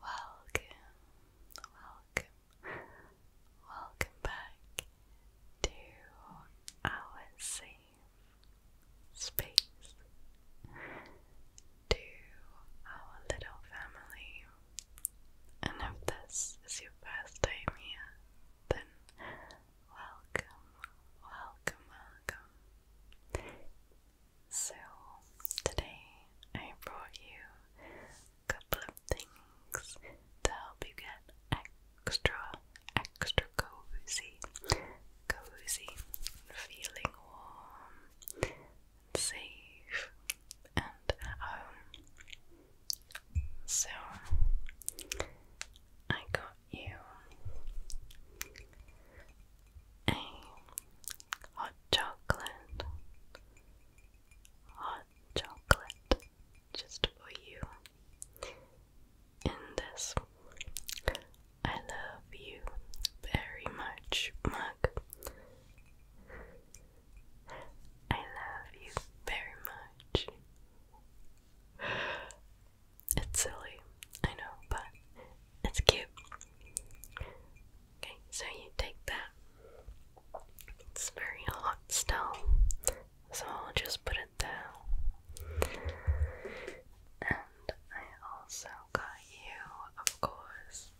Welcome, welcome, welcome back to our safe space to our little family. And if this is your first time here, then welcome, welcome, welcome. So, today I brought you a couple of things to help you get extra, extra cozy, cozy, feeling warm safe and home. So I got you a hot chocolate, hot chocolate just for you. In this, I love you very much mug I love you very much. It's silly, I know, but it's cute. Okay, so you take that. It's very hot still, so I'll just put it down. And I also got you, of course,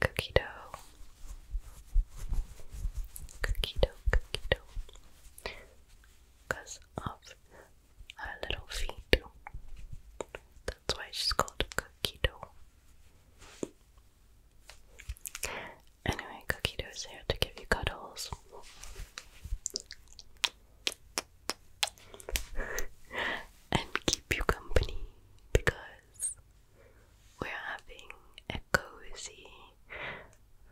cookie dough, cookie dough, cookie dough, because of her little feet. That's why she's called cookie dough. Anyway, cookie dough is here to give you cuddles and keep you company because we're having a cozy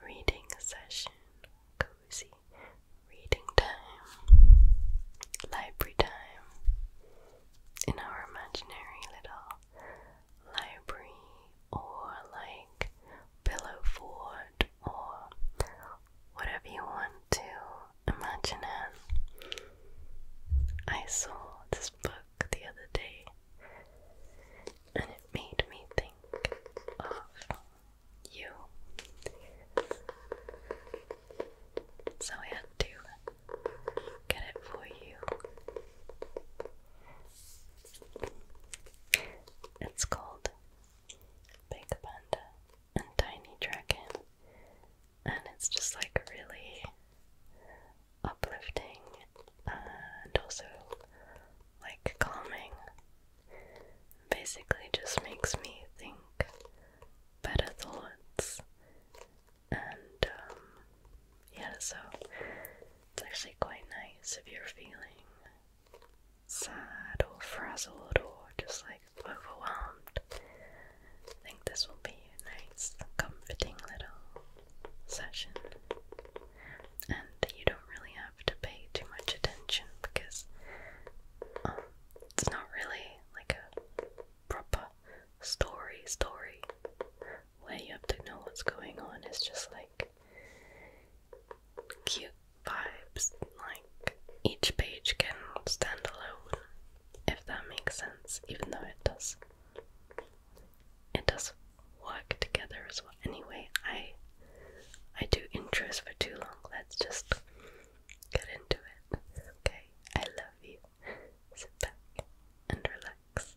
reading session, cozy reading time, library time in our imaginary little library or like pillow fort or whatever you want to imagine it. I saw this book the other day and it made me think of you. So I had to get it for you. It's called Big Panda and Tiny Dragon and it's just like really uplifting and also like calming. Basically, just makes me think better thoughts, and um, yeah, so it's actually quite nice if you're feeling sad or frazzled or just like overwhelmed. I think this will be a nice, comforting little session. And you don't really have to pay too much attention because um, it's not really like a proper story story where you have to know what's going on. It's just like cute vibes. Like each page can stand alone if that makes sense, even though it does. It does work together as well. Anyway, I I do intros for too long. Let's just get into it. Okay, I love you. Sit back and relax.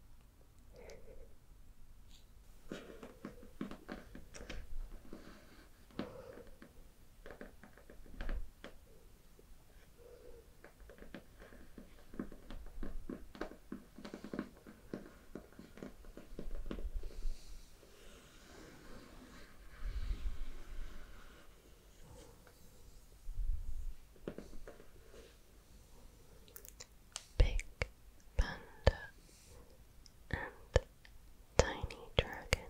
Big Panda and Tiny Dragon.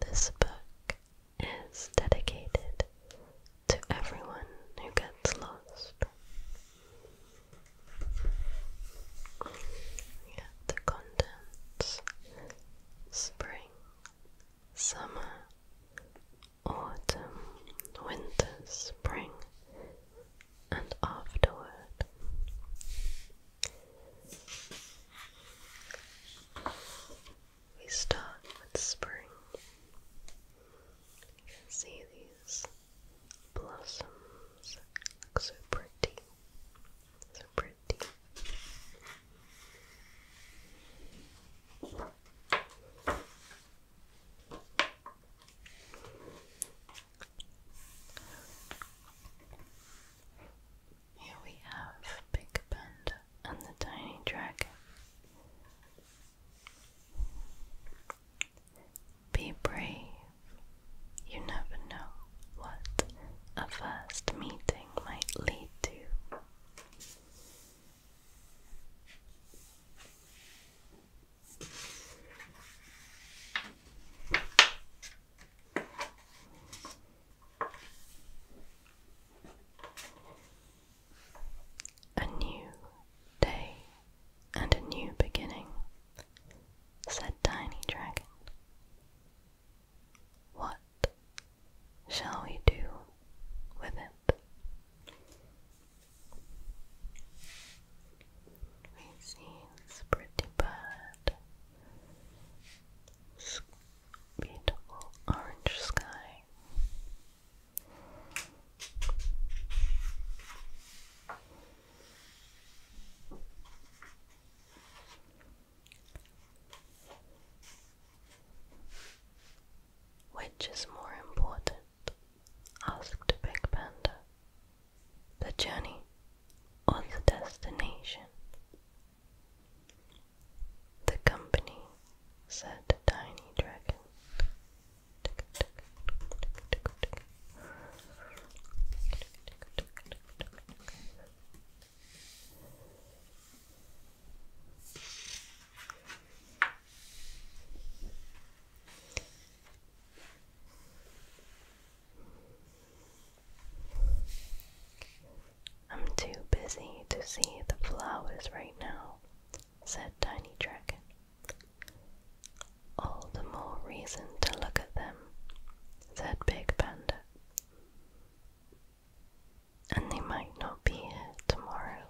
This book is dedicated to everyone who gets lost. Yeah, the contents spring, summer, autumn, winter, spring, and afterward. We start with spring. You can see these blossoms look so pretty. So pretty. Here we have Big Panda and the Tiny Dragon. Be brave. You never know what a first meeting might lead to. A new day and a new beginning, said Tiny Dragon. What shall we do with it? It seems pretty bad. Beautiful orange sky. Which is more important? asked Big Panda. The journey or the destination? The company, said Tiny Dragon. I'm too busy to see the flowers right now, said Tiny Dragon. All the more reason to look at them, said Big Panda and they might not be here tomorrow.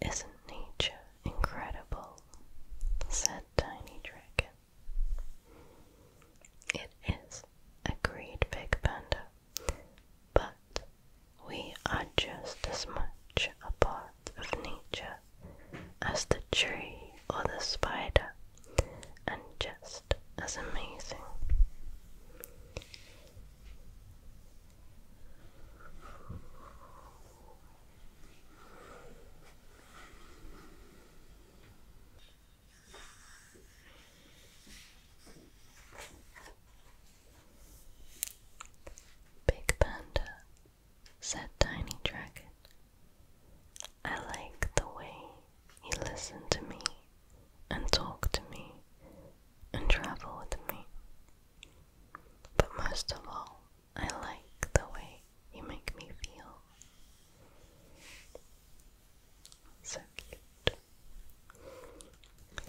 Isn't nature incredible? said Tiny Dragon. It is, agreed Big Panda, but we are just as much a of nature as the tree or the spider, and just as amazing. Big Panda said Tiny Dragon. I like the way you listen to me and talk to me and travel with me. But most of all, I like the way you make me feel. So cute.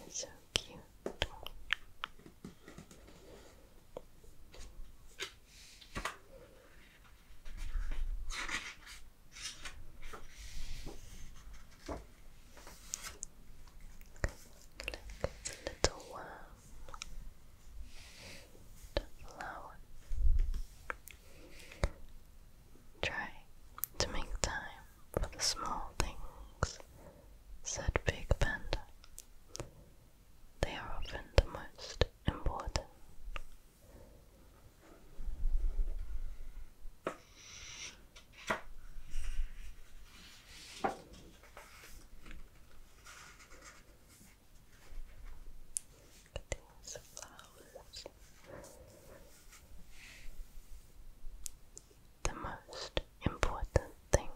So cute. Look, it's a little worm. The flower. Try to make time for the small things, said Big Panda. They are often the most important. The most important thing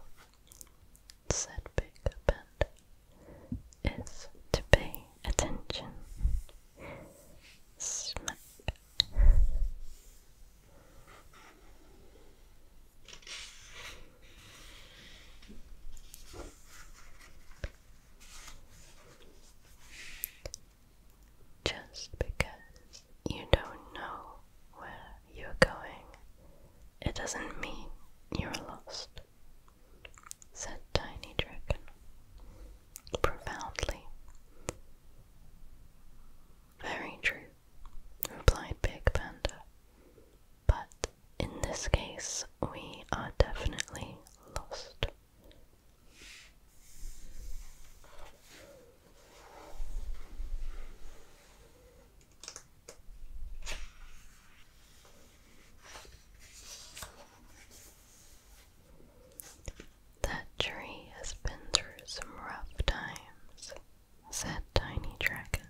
said Big Panda, is to pay attention. Just because you don't know where you're going, it doesn't mean you're lost said Tiny Dragon profoundly. Very true, replied Big Panda. But in this case, we are definitely lost. That tree has been through some rough times, said Tiny Dragon.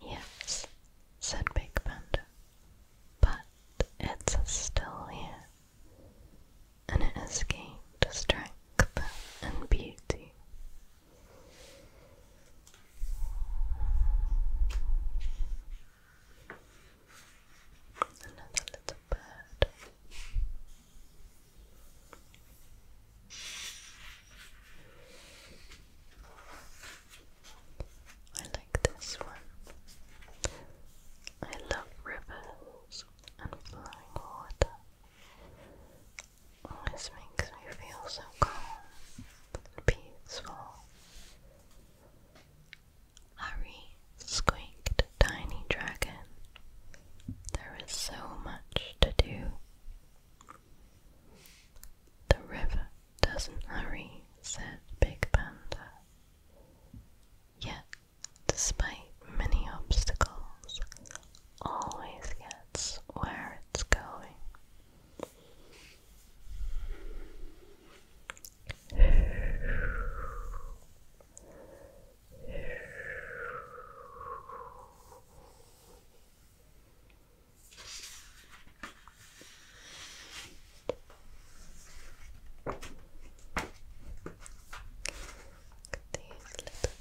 Yes, said Big Panda, but it's still here, and it has gained strength and beauty Another little bird. I like this one. I love rivers and flowing water. This makes me feel so calm and peaceful. Hurry, squeaked Tiny Dragon. There is so much to do. The river doesn't hurry, said Big Panda. Yet, despite many obstacles, always gets where it's going. These little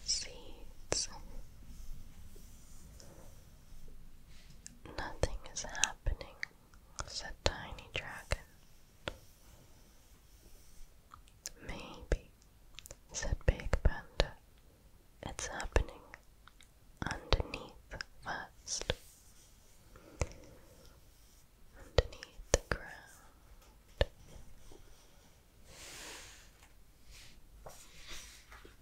seeds. Nothing is happening, said Tiny Dragon. Maybe, said Big Panda. It's happening underneath first. Underneath the ground.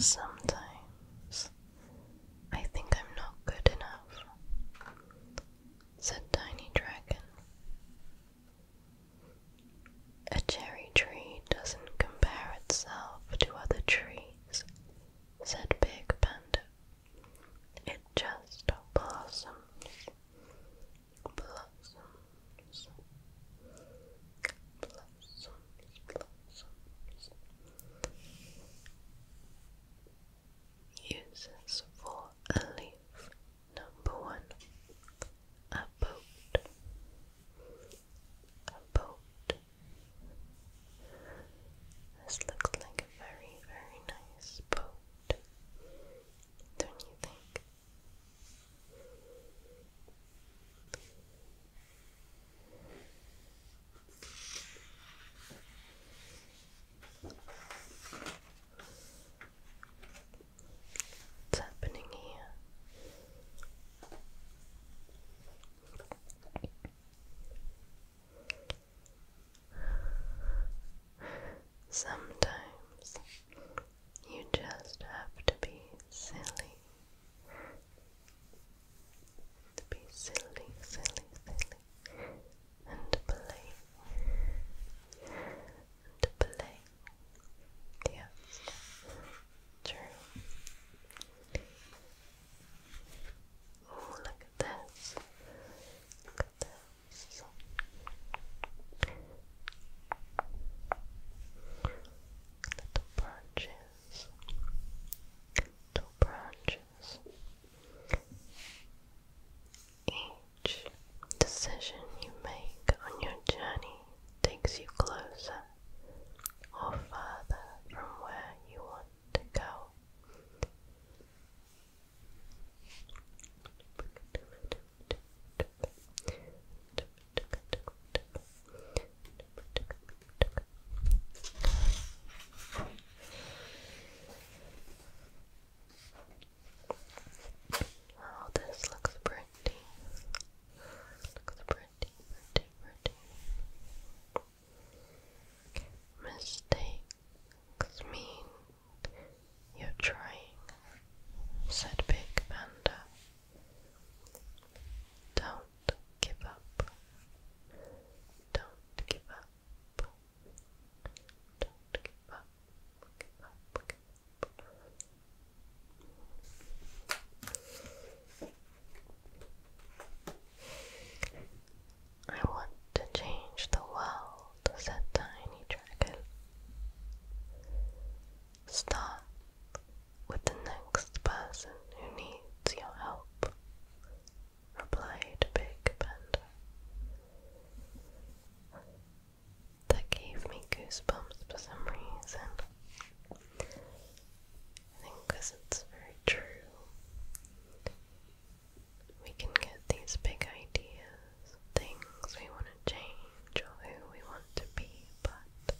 Sometimes I think I'm not good enough, said Tiny Dragon. A cherry tree doesn't compare itself to other trees said Big Panda. It just blossoms, blossoms, blossoms, blossoms. Uses for a leaf. Number one, a boat, a boat, this looks like a very, very nice boat, don't you think? What's happening here? Sometimes you just have to be silly. To be silly, silly, silly, and play, and play. Yes, true. Oh, look at this. Look at this. Little branches. Little branches. Each decision you make on your journey takes you closer or further from where you want to go. Oh, this looks pretty. Looks pretty, pretty, pretty. Mistakes mean you're trying, said Big Panda. Don't give up. Don't give up. Don't give up. I want to change the world, said Tiny Dragon. Start with the next person who needs your help, replied Big Panda. That gave me goosebumps for some reason. I think because it's very true we can get these big ideas, things we want to change or who we want to be, but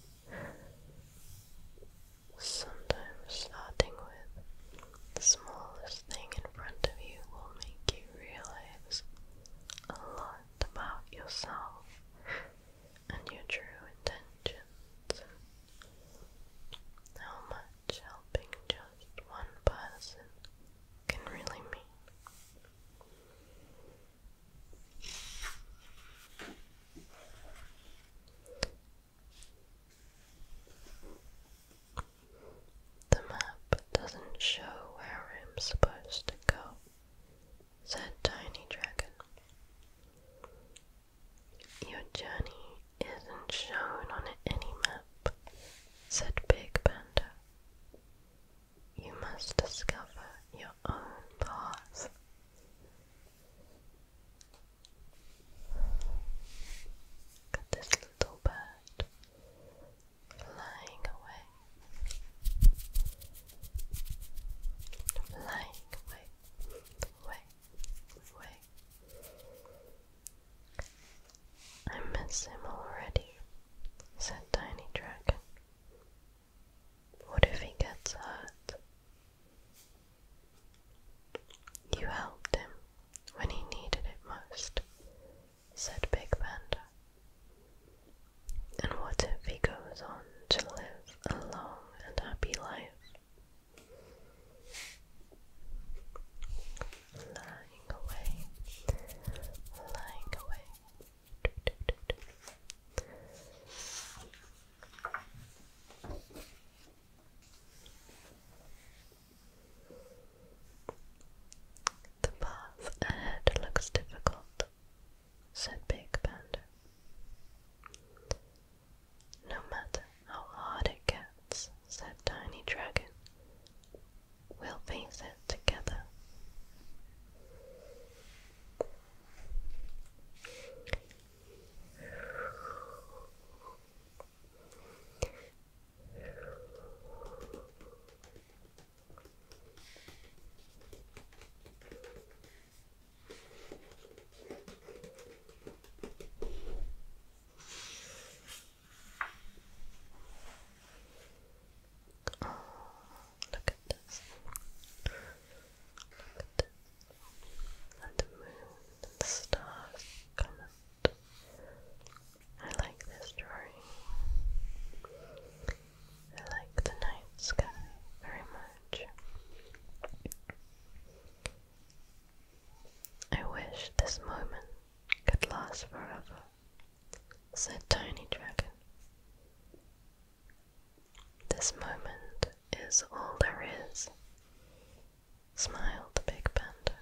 sometimes starting with the smallest thing in front of you will make you realize a lot about yourself and your true intentions. How much helping just one person can really mean. The map doesn't show where I'm supposed to go, said Tiny Dragon. Your journey isn't shown on any map, said Big Panda. You must discover your own path. Look at this little bird flying away. Flying away, away, away. I miss him already, said Tiny Dragon. What if he gets hurt? You helped him when he needed it most, said Big Panda. And what if he goes on to live a long and happy life? lying away, lying away. The path ahead looks difficult, said Big Panda. No matter how hard it gets, said Tiny Dragon, we'll face it together look at this. Look at this. And the moon the stars come I like this drawing. I like the night sky very much. I wish this moment could last forever, said Tiny Dragon. This moment is all there is, smiled the big panda.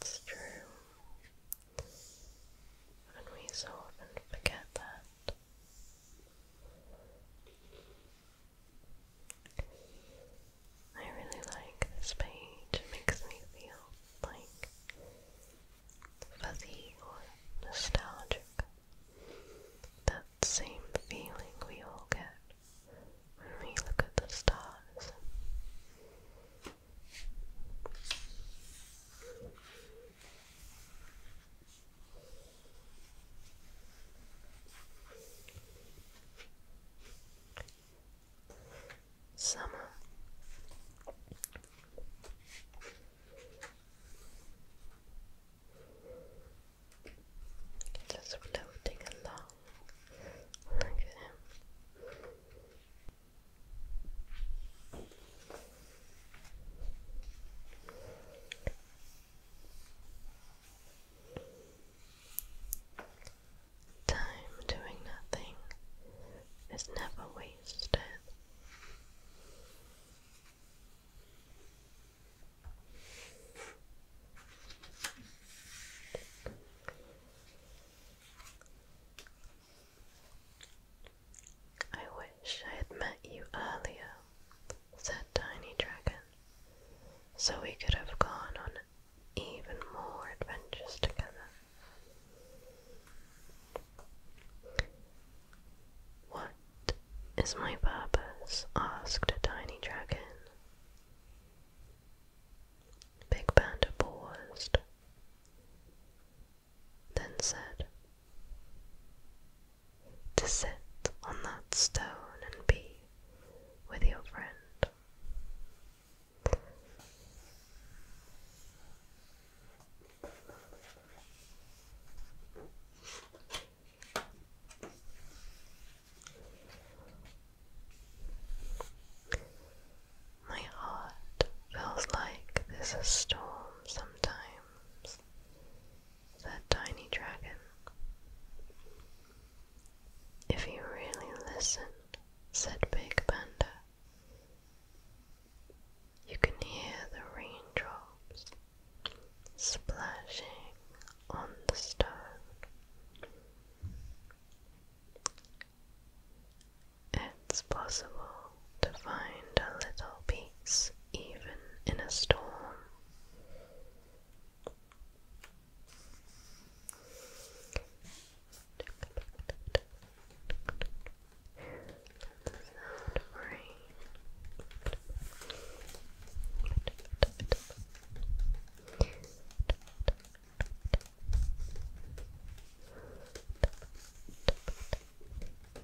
It's true. And we so often forget that. I really like this page. It makes me feel like fuzzy or nostalgic. That same feeling we all get when we look at the stars. Summer. Just floating along. Look Time doing nothing is never wasted. I wish I had met you earlier, said Tiny Dragon, so we could have gone on even more adventures together. What is my purpose? asked Tiny Dragon. Big Panda paused then said, To sit on that stone and be with your friend. My heart feels like there's storm sometimes that tiny dragon. If you really listen, said Big Panda, you can hear the raindrops splashing on the stone. It's possible to find a little peace even in a storm.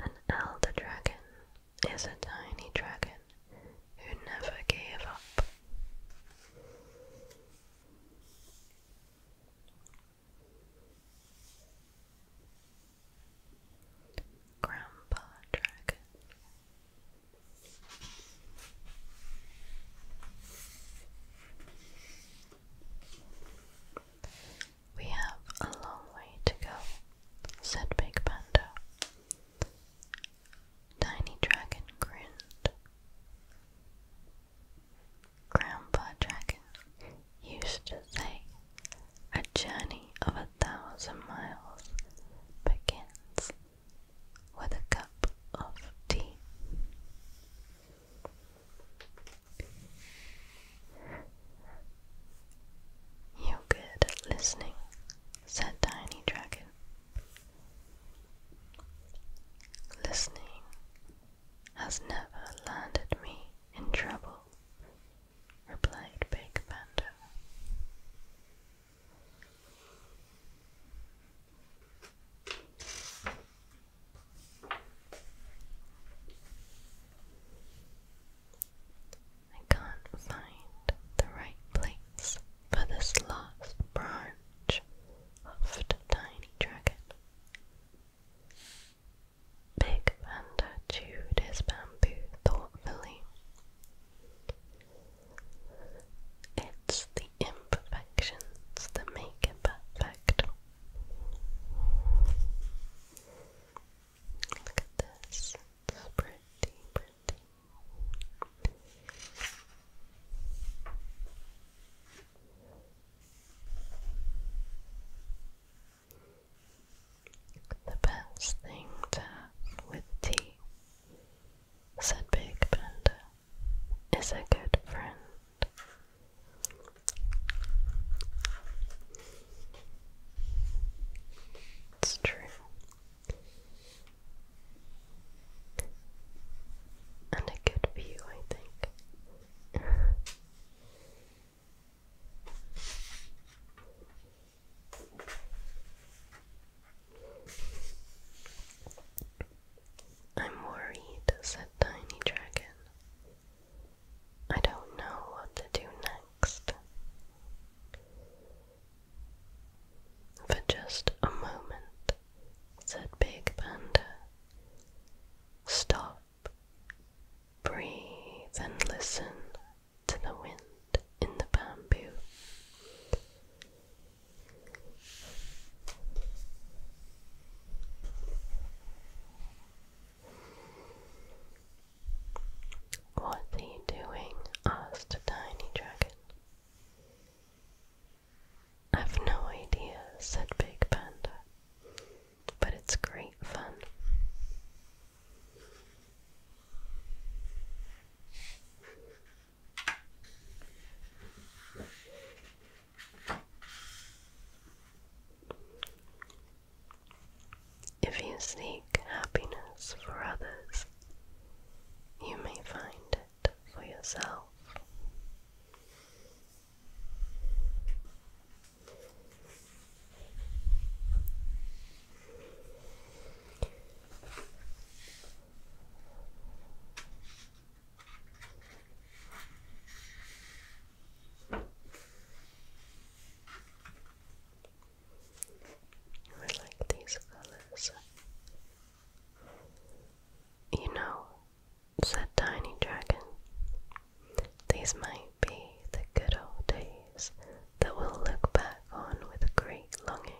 An elder dragon is a tiny dragon who never gave up. Grandpa Dragon. We have a long way to go, said Big Panda. Tiny Dragon grinned. Grandpa Dragon used to say, A journey of a thousand miles begins with a cup of tea. You're good at listening, said Tiny Dragon. Listening has never landed me in trouble, replied Big Panda. I can't find the right place for this last branch of tiny dragon. Big Panda chewed his bamboo thoughtfully. It's the imperfections that make it perfect. Look at this. The best thing to with tea, said Big Panda, is a good friend. It's true. And a good view, I think. I'm worried, said Tiny Dragon. I don't know what to do next. For just a moment, said Big Panda. Stop, breathe, and listen to the wind in the bamboo. What are you doing? asked Tiny Dragon. I've no idea, said Big Panda, but it's great fun. If you seek happiness for others, you may find it for yourself. I like these colors. You know, said Tiny Dragon, these might be the good old days that we'll look back on with great longing.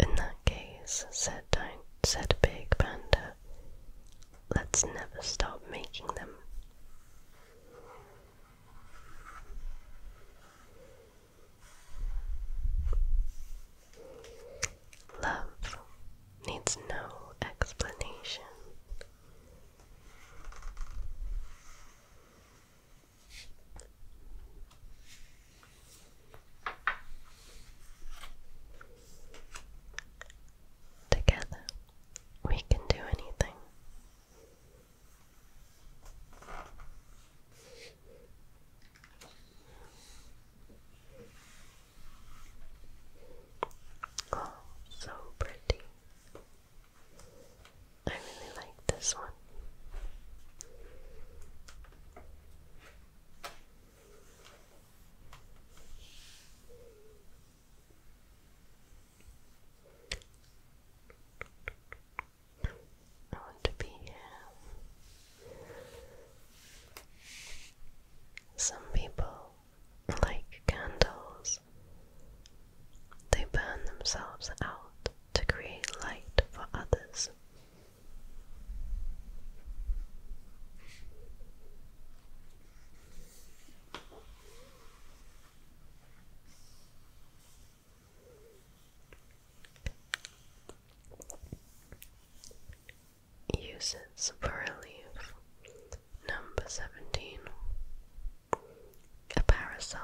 In that case, said, said Big Panda, Let's never stop making them. Love needs no explanation. Together, we can do anything. Oh, so pretty. I really like this one. I want to be um, Some people like candles. They burn themselves out to create light for others. Uses for relief. Number 17. A parasol.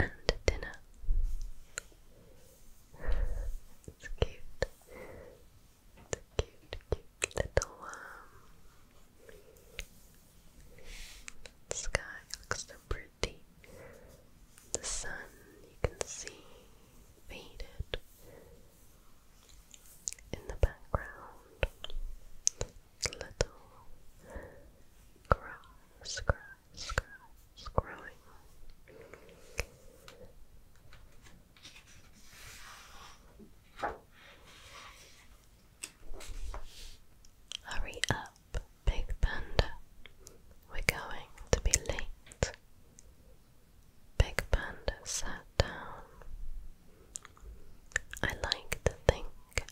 And dinner. it's cute. The cute, cute little um, sky looks pretty. The sun you can see faded in the background. Little grass, grass, grass growing. Hurry up, Big Panda. We're going to be late. Big Panda sat down. I like to think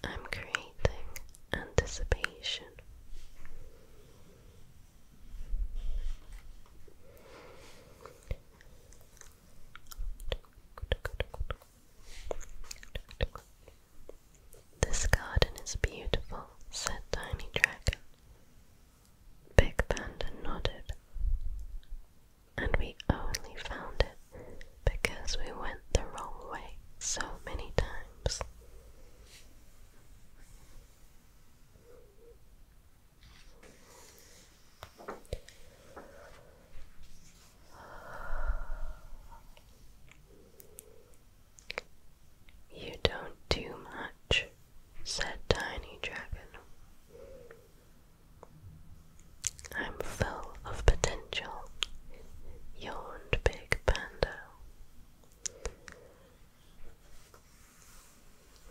I'm creating anticipation. This garden is beautiful, said Tiny Dragon. Big Panda nodded. And we only found it because we went the wrong way so many times. You don't do much, said Tiny Dragon. I'm full of potential, yawned Big Panda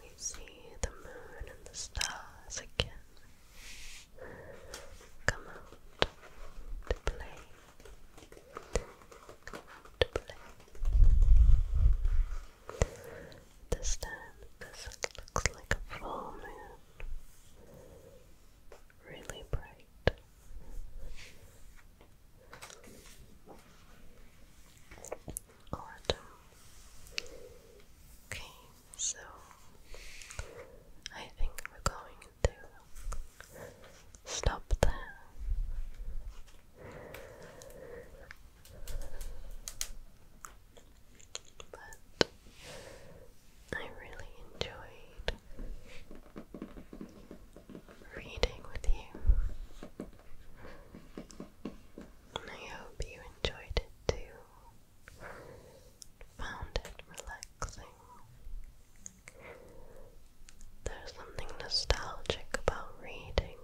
we see the moon and the stars again come out to play. to play. This time, this looks like a full moon. Really bright. Autumn. Okay, so I think we're going to stop there. But I really enjoyed reading with you. I hope you enjoyed it too found it relaxing. There's something nostalgic about reading.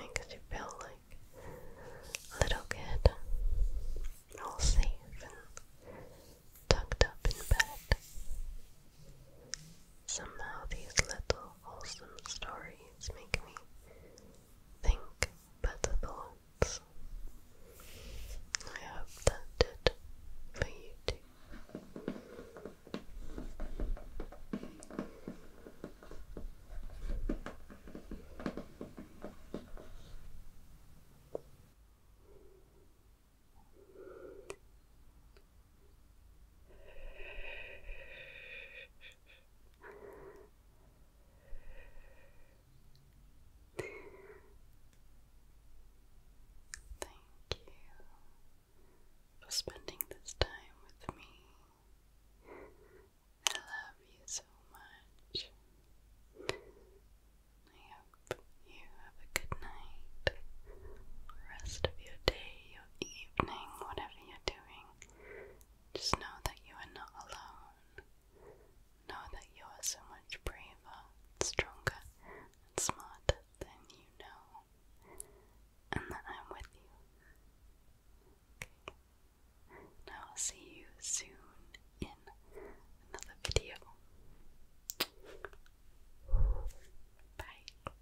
makes you feel like a little kid, all safe and tucked up in bed. Somehow these little wholesome stories make me think better thoughts else. I hope that did for you too. Thank you for spending this time with me. I love you so much. I hope you have a good night, rest of your day, your evening, whatever you're doing. Just know that you are not alone. Know that you are so much braver, stronger, and smart than you know, and that I'm with you. Okay. And I will see you soon in another video. Bye.